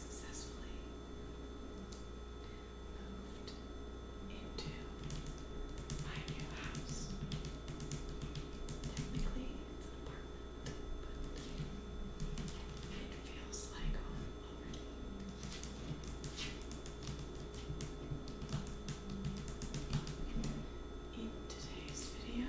successfully moved into my new house. Technically, it's an apartment, but it feels like home In today's video,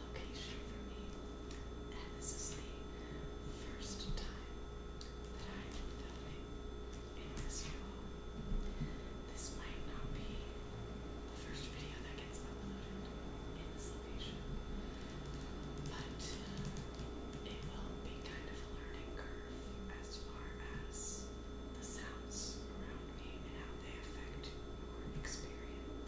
location for me. And this is the first time that I am filming in this room. This might not be the first video that gets uploaded in this location, but uh, it will be kind of a learning curve as far as the sound else around me and how they affect your experience.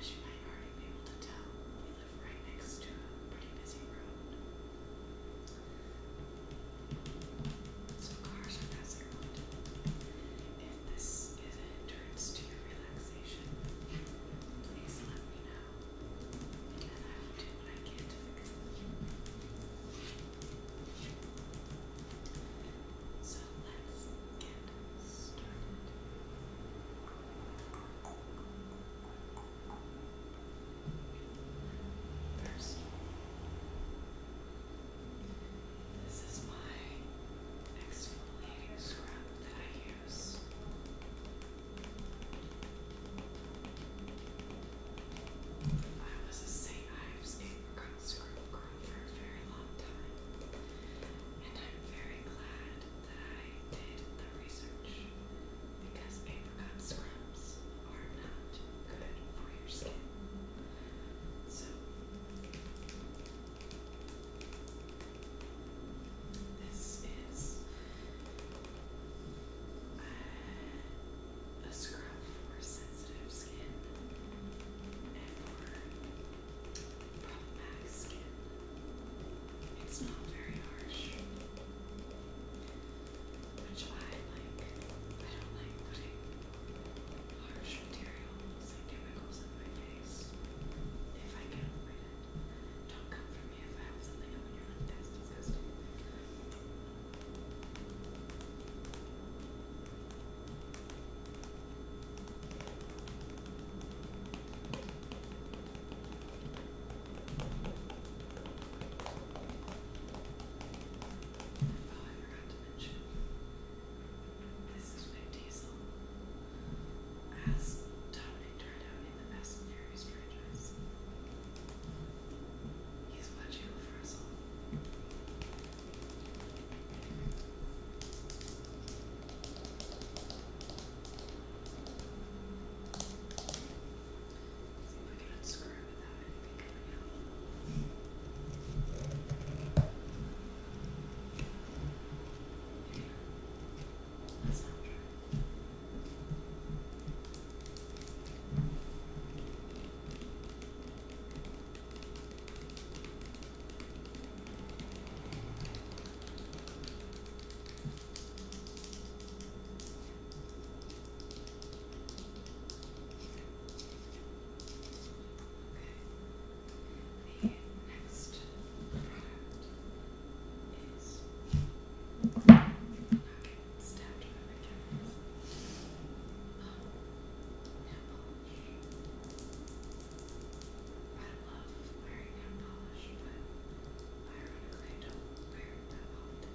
As you might already be able to tell, we live right next to a pretty busy road. So cars are passing around. If this is to your relaxation, please let me know. And I will do what I can to fix it. So let's get started. First, this is my exfoliating scrub that I use. I was a St. Ives apricot scrub girl for a very long time. And I'm very glad that I did the research because apricot scrubs are not good for your skin. So, this is a scrub for sensitive skin and for problematic skin. It's not very harsh, which I like. I don't like putting harsh materials and chemicals in my face if I can avoid it. Don't come for me if I have something on in your lip. That's disgusting forgot to mention this is Vin Diesel as Dominic Toretto in the Fast franchise. He's watching over us See if I can unscrew it without anything coming out. Yeah. That's not true. Right. The next product is okay, stabbed by nail polish. I love wearing nail polish, but ironically I don't wear it that often. I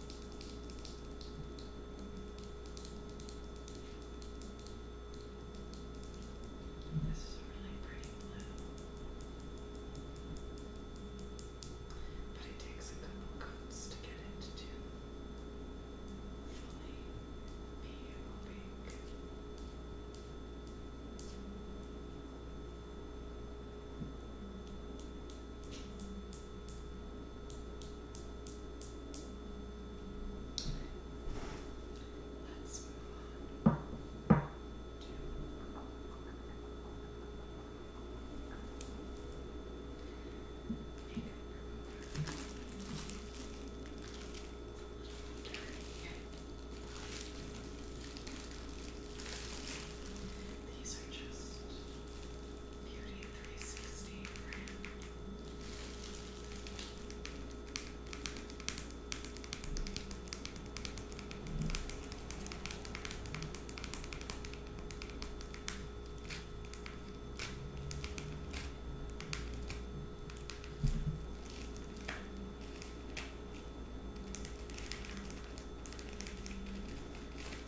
This is really pretty But it takes a couple coats to get it to fully be opaque. Let's move on to makeup these are just Beauty 360 brand. All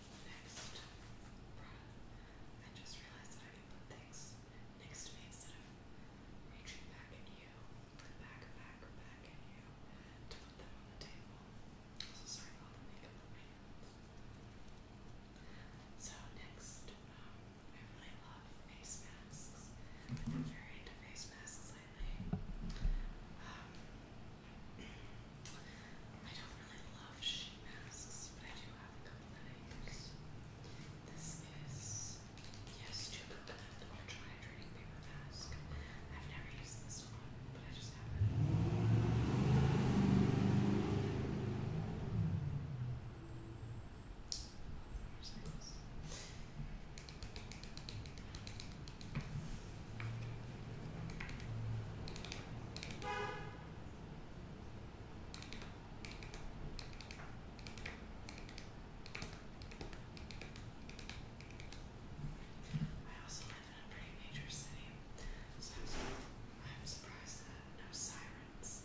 next I just realized that I can put things next to me instead of reaching back at you, back, back, back at you to put them on the table. So sorry about the makeup on my hands. So next, um, I really love face masks. I've been very into face masks lately. Um, I don't really love sheet masks, but I do have a couple that I use. This is yes, two coconut or hydrating paper mask. I've never used this one, but I just have it. I I also live in a pretty major city, so I'm surprised that no sirens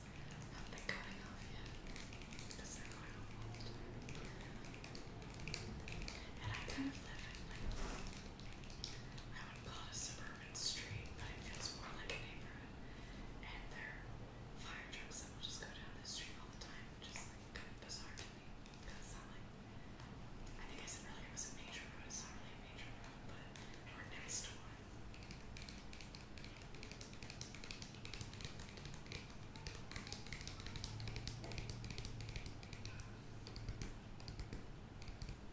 have been going off yet. Because they're going off And I kind of live in like I would call it a suburban street, but it feels more like a neighborhood. And there are fire trucks that will just go down the street all the time, which is like kind of bizarre to me because it's not like I think I said earlier it was a major road. It's not really a major road, but we're next to one. I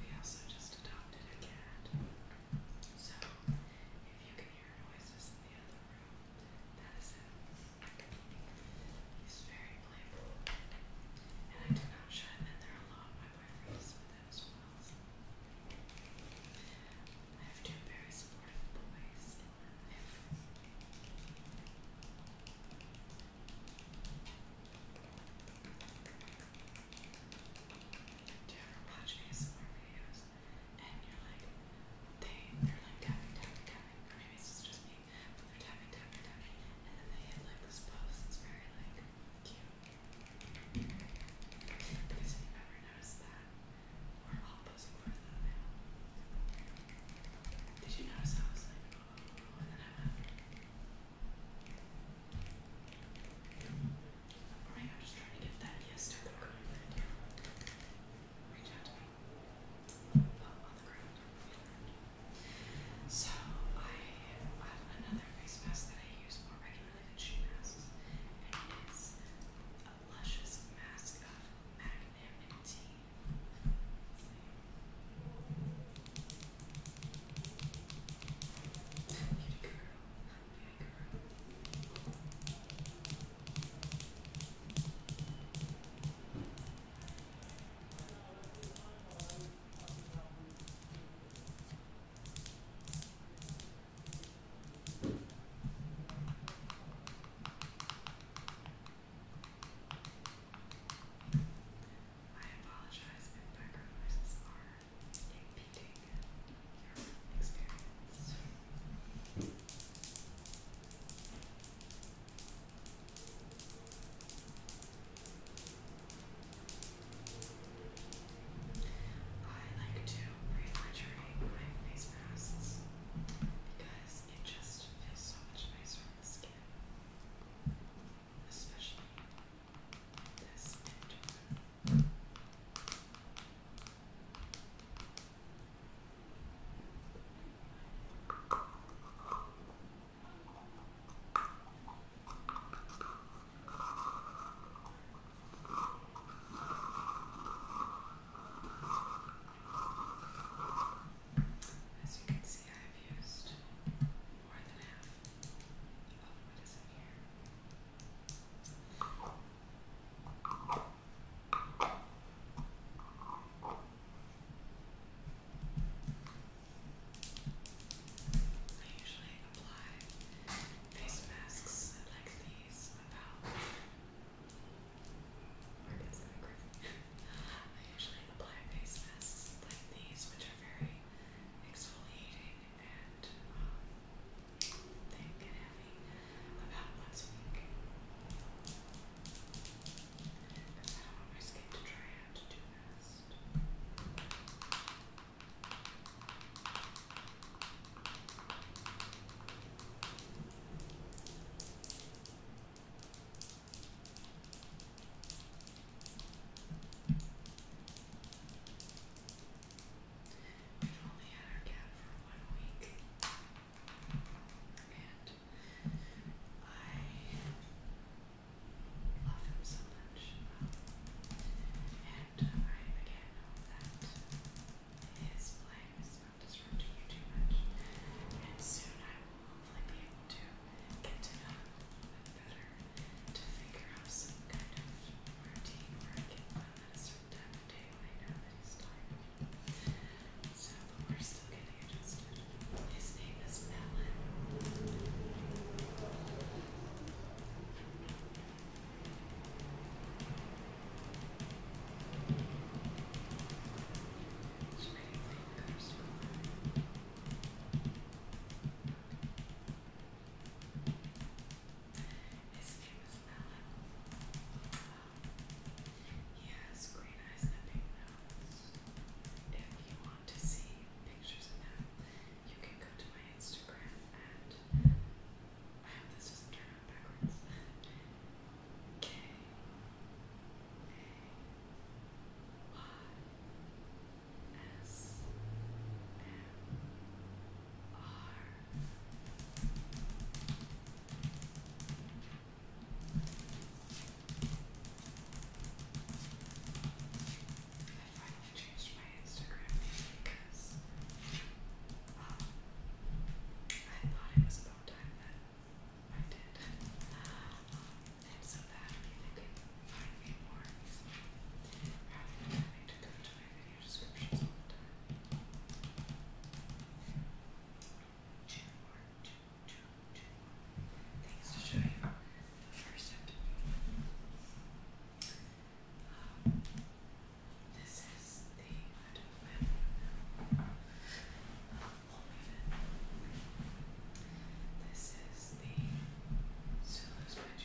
We also just adopted a cat. So, if you can hear noises in the other room, that is him. He's very playful. And I do not shut him in there a My boyfriend is with as well. I have two very supportive boys do you ever watch ASMR videos and you're like, they, they're like tapping, tapping, tapping, or maybe it's just me, but they're tapping, tapping, tapping, and then they hit like this pose that's very like cute. Because if you've ever noticed that, we're all posing for that now. Did you notice I was like, oh, and then I went. I'm just trying to get that yes to the ground right here. Reach out to me. So, I have another face mask that I use more regularly than she masks. And it is a luscious mask of magnanimity. I apologize if background noises are impeding your I like to refrigerate my face masks because it just feels so much nicer on the skin. Especially this winter. As you can see, I've used more than half of what is in here. I usually apply face masks like these about where is that crazy? I usually apply face masks like these, which are very exfoliating and um, thick and heavy about once a week. Because I don't want my skin to dry out too fast. Okay, We've only had our cat for one week. And I love him so much. Um, and I again hope that his play is not disrupting you too much. And soon I will hopefully be able to get to know him a little bit to figure out some kind of routine where I get them at a certain time day when I So, we're still getting adjusted. His name is Melon. His name is Matt. he has green eyes and a nose. If you want to see pictures of him, you can go to my Instagram at I hope this doesn't turn out backwards. K A Y S M R. I finally changed my Instagram name because um, I thought it was about time that I did. Um, and so that people can find me more easily rather than having to go to my video descriptions all the time. Two more, two, two, two more things to show you. First up, um, this is the end of my room. This is the Sulu's bedroom.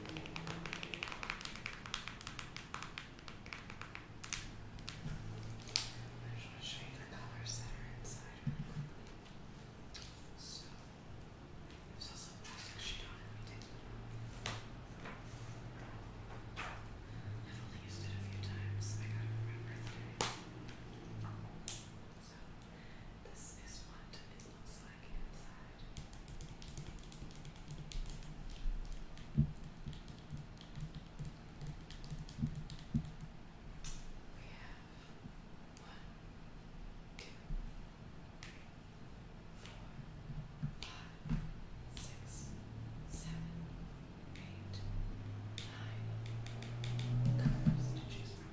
I just want to show you the colors that are inside. So there's also a plastic sheet on it. We did. I've only used it a few times. I gotta remember today. So this is what looks like inside. We have one, two, three, four, five, six, seven, eight, nine colors to choose from.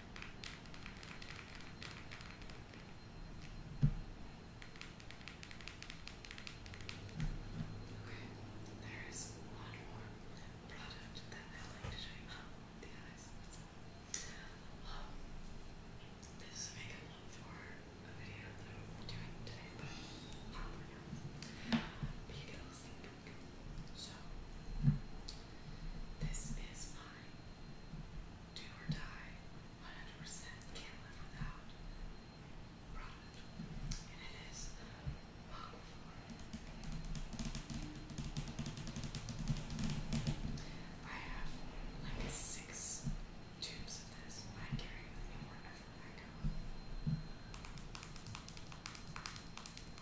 Okay, there is one more product that I like to show you. Oh, the eyes. Um, this is a makeup look for a video that I'm doing today, but not for now. But you get all the same so, this is my do or die 100% can't live without product. And it is bottle I have like six tubes of this I carry with wherever I go.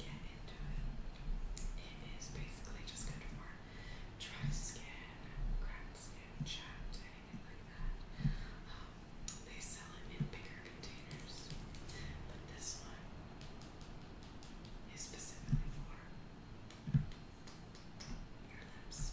it is basically just good for dry skin, cracked skin, chapped, anything like that. Um, they sell it in bigger containers, but this one is specifically for your lips.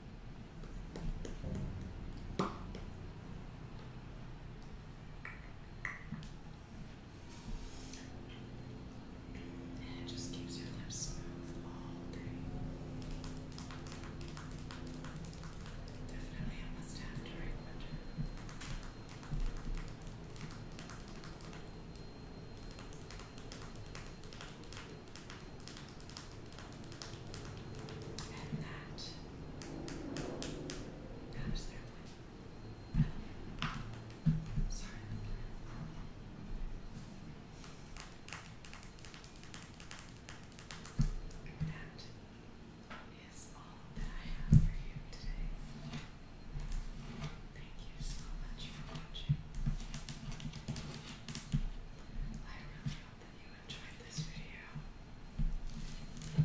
And it just keeps your lips smooth all day. Definitely a must have during winter. All and that. their one. Sorry. that is all that I have for you today. Thank you so much for watching. I really hope that you enjoyed this video. And I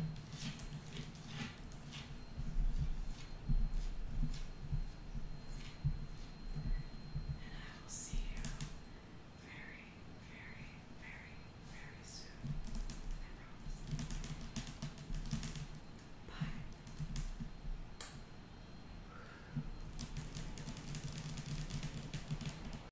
will see you very, very, very, very soon. I promise. Bye.